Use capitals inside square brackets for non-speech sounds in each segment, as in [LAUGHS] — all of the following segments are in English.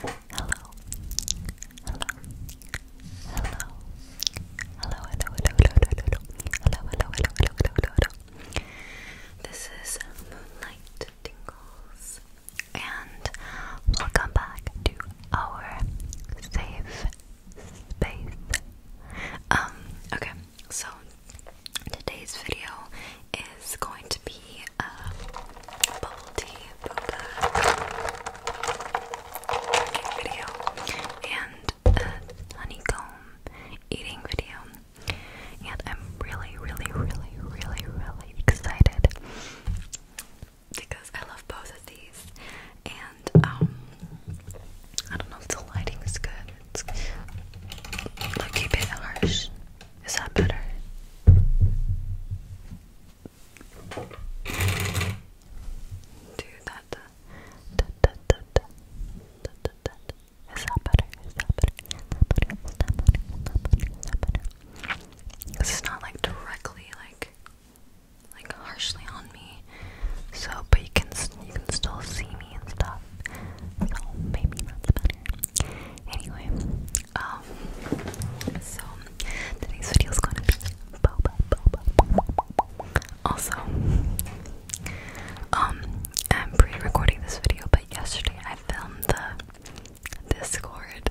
Hello. Hello. Hello. Hello, hello, hello, hello, hello, hello, hello, This is Moonlight Tingles, and welcome back to our safe space. Um, okay, so Today's video is going to be a uh, bubble tea video and a honeycomb eating video. And I'm really, really, really, really, really excited because I love both of these. And um, I don't know if the lighting is good. It's look a bit harsh. Is that better? Do that. that better? Is that better? Is that better? Is that better? Is that better? Is that not like directly like like harshly on me. So, but you can you can still see me and stuff. So maybe that's better. Anyway, um, so today's video is gonna be Also, um, I'm pre-recording this video, but yesterday I filmed the Discord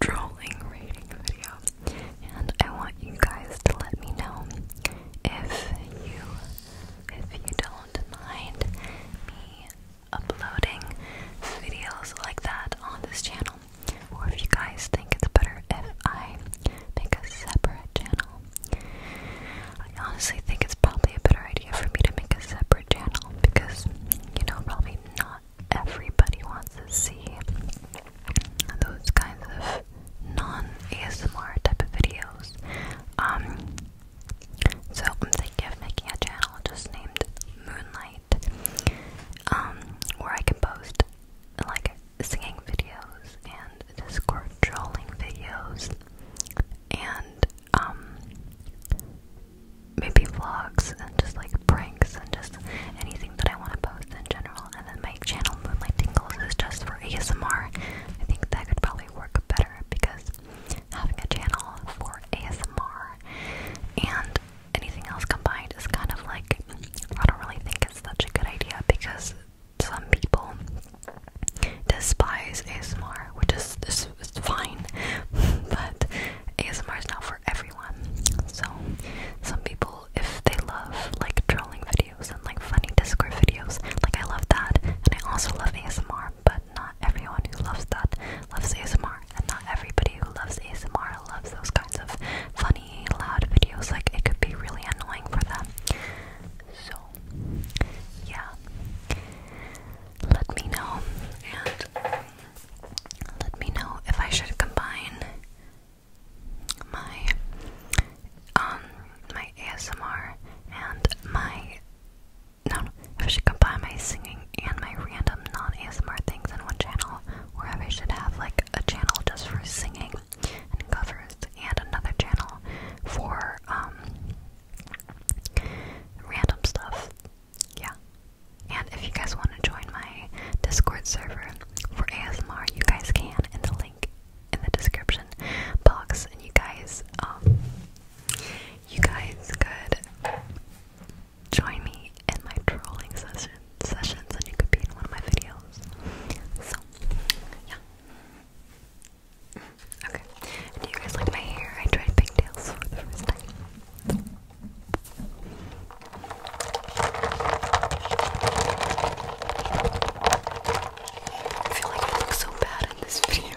trolling rating video, and I want you guys to let me know if you if you don't mind me uploading videos like that on this channel, or if you guys think it's better if I make a separate channel. I honestly think it's probably a better idea for me to make a separate channel because, you know, probably not everybody wants to see those kinds of non ASMR type of videos. Um, so I'm thinking of making a channel just named Moonlight, um, where I can post like singing videos and Discord trolling videos and um maybe vlogs and just like pranks and just anything that I want to post in general. And then my channel Moonlight Tingles is just for ASMR. I think that could probably work better because having a channel for ASMR and anything else combined is kind of like I don't really think it's such a good idea because some people despise ASMR, which is this fine, [LAUGHS] but ASMR is not for everyone. So some people, if they love like drawing videos videos and like funny Discord videos. Like I love that, and I also love ASMR. But not everyone who loves that loves ASMR, and not everybody who loves ASMR loves those kinds of funny, loud videos. Like it could be really annoying for them. So yeah, let me know and let me know if I should combine my um my ASMR and my no, if I should combine my singing and my random non-ASMR things in one channel, or if I should have like a channel just for singing and covers and another channel for um random stuff. Yeah. And if you guys want to join my Discord server for ASMR, you guys can, and the link in the description box, and you guys, um, you guys could join me in my trolling session sessions, and you could be in one of my videos. So, yeah. Okay. Do you guys like my hair? I tried pigtails for the first time. I feel like I look so bad in this video.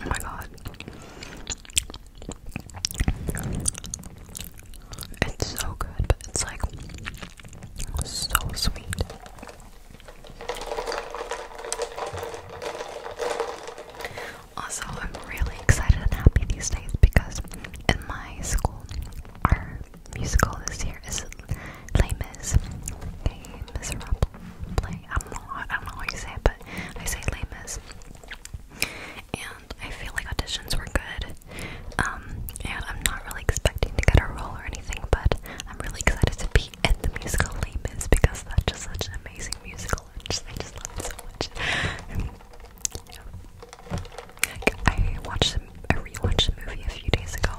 Oh my god. It's so good, but it's like so sweet. Also, I'm really excited and happy these days because in my school, our musical this year is Les Mis, play. I don't know. I don't know how you say it, but I say Les Mis. And I feel like auditions were good. Um, and I'm not really expecting to get a role or anything, but I'm really excited to be in the musical Les Mis because that's just such an amazing musical. I just, I just love it so much. And, um, yeah. I watched, I rewatched the movie a few days ago,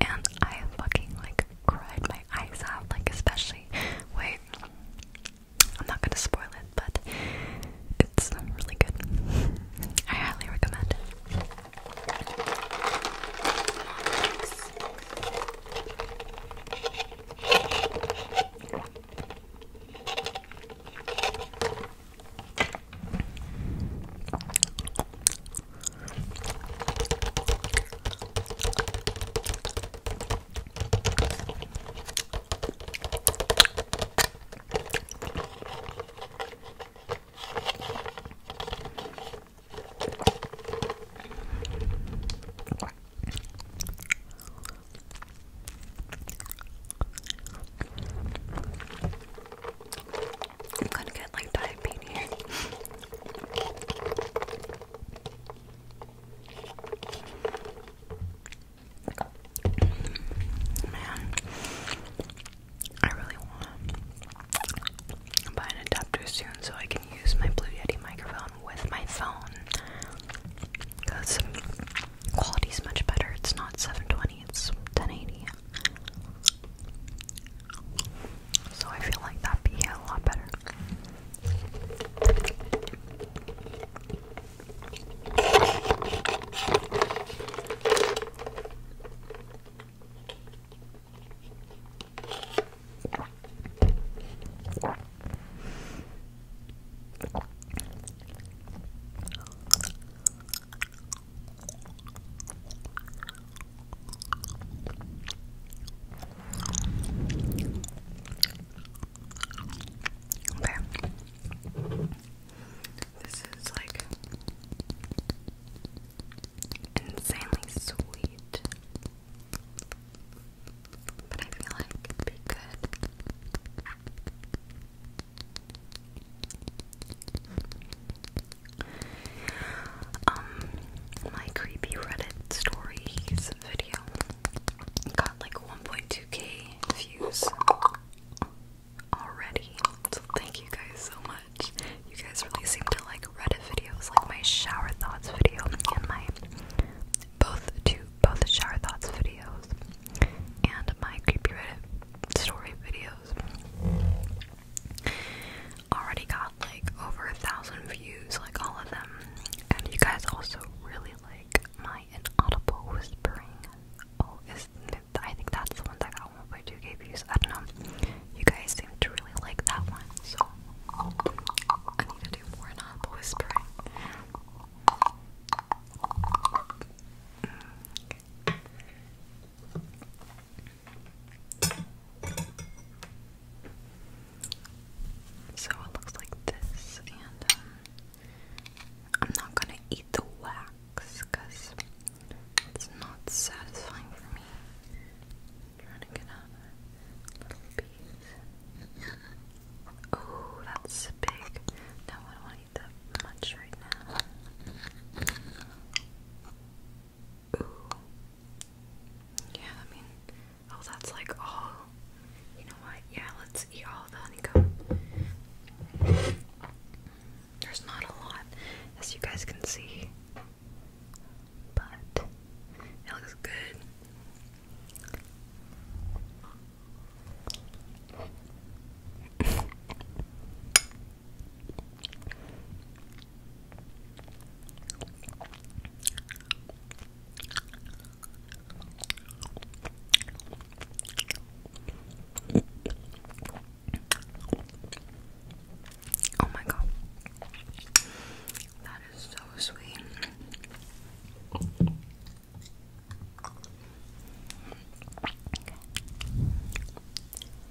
and I fucking like cried my eyes out. Like especially, wait, I'm not gonna spoil it, but it's really good. I highly recommend I'm gonna get like diabetes. [LAUGHS] Man, I really wanna buy an adapter soon so I can use my Blue Yeti microphone with my phone. Cause quality's much better. It's not 720, it's 1080. So I feel like that'd be a lot better. Okay. This is like insanely sweet. But I feel like it'd be good um my creepy Reddit stories video got like 1.2k views already. So thank you guys so much. You guys really seem to like Reddit videos, like my shower thoughts video and my both two both shower thoughts videos and my creepy Reddit story videos already got like over a thousand views, like all of them. And you guys also really like my inaudible whispering. Oh, is I think that's the one that got 1.2k views. I don't know. You guys seem to really like that one, so I need to do more inaudible whispering. Mm, okay. So it looks like this, and um, I'm not gonna eat the wax because it's not satisfying for me. trying to get a little piece. Oh, that's big. No, I don't want to eat that much right now. Yeah, I mean, oh, that's like all. You know what? Yeah, let's eat all the honeycomb. There's not a lot, as you guys can see, but it looks good. Oh, my God, that is so sweet.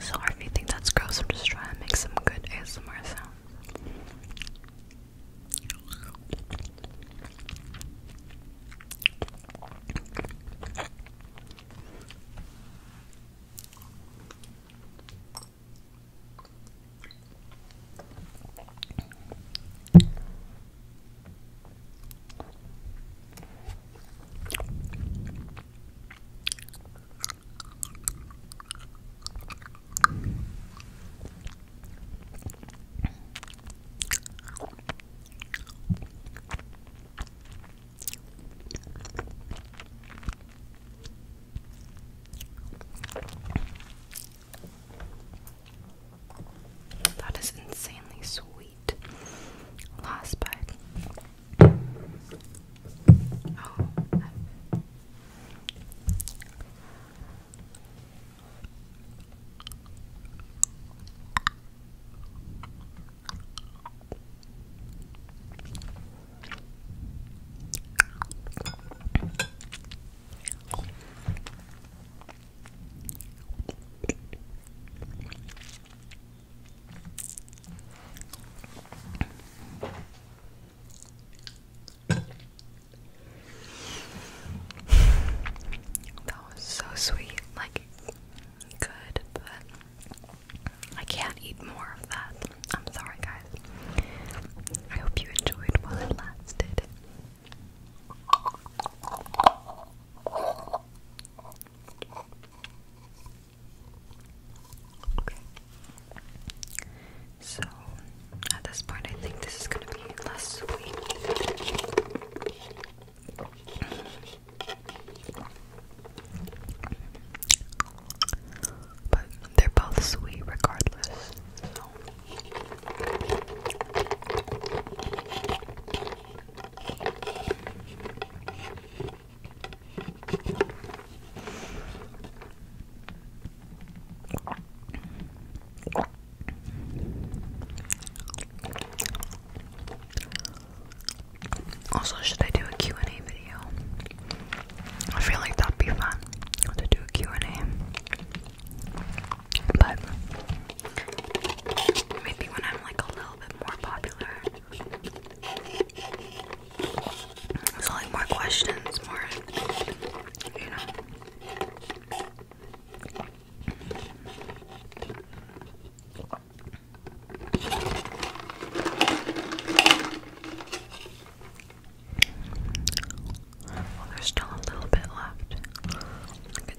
Sorry if you think that's gross, I'm just trying to make some good ASMR sounds. That is insanely sweet wheat lost by oh that was so sweet, like good, but I can't eat more of that. I'm sorry, guys. I hope you enjoyed while it lasted. So at this point, I think this is going to be less sweet. But they're both sweet regardless. Also, should I do a and a video? I feel like that'd be fun to do a Q&A. But maybe when I'm like a little more popular. So like more questions, more you know. Well, there's still a little bit left.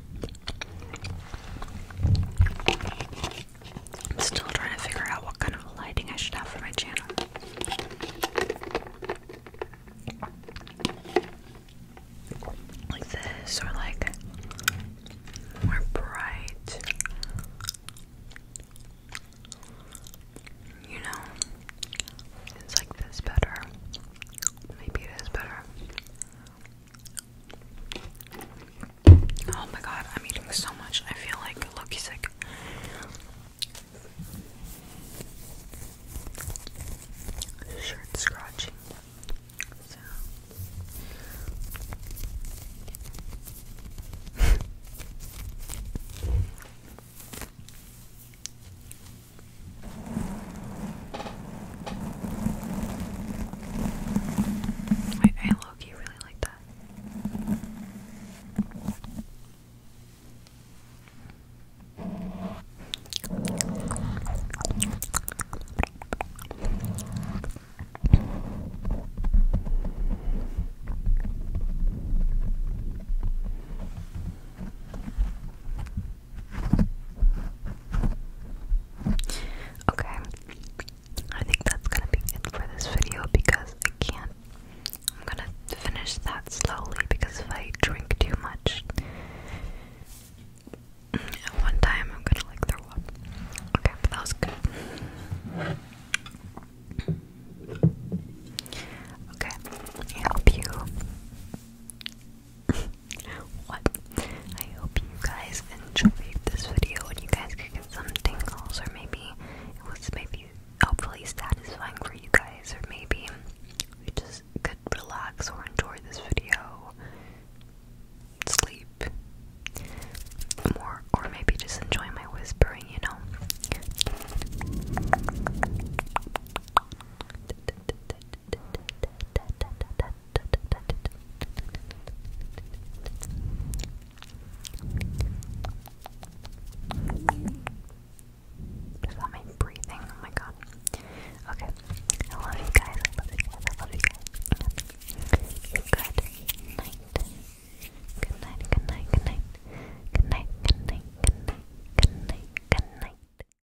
I'm still trying to figure out what kind of lighting I should have for my channel. Like this, or like more bright. You know, it's like this better. Maybe it is better. Oh my god, I'm eating so much. I feel like Loki sick. Shirt scratching. I, I low really like that. Okay, I think that's gonna be it for this video because I can't. I'm gonna finish that slowly because if I drink too much at one time, I'm gonna like throw up. Okay, but that was good. Okay, I hope you [LAUGHS] what? I hope you guys enjoyed this video and you guys could get some tingles or maybe it was maybe hopefully satisfying for you guys or maybe you just could relax or enjoy this video. Sleep. More or maybe just enjoy my whispering, you know. Is that my breathing? Oh my god. Okay. I love you guys. I love you guys. I love you guys. Good Good night. Good night. Good night. Good night. Good night. Good night. Good night. Good night.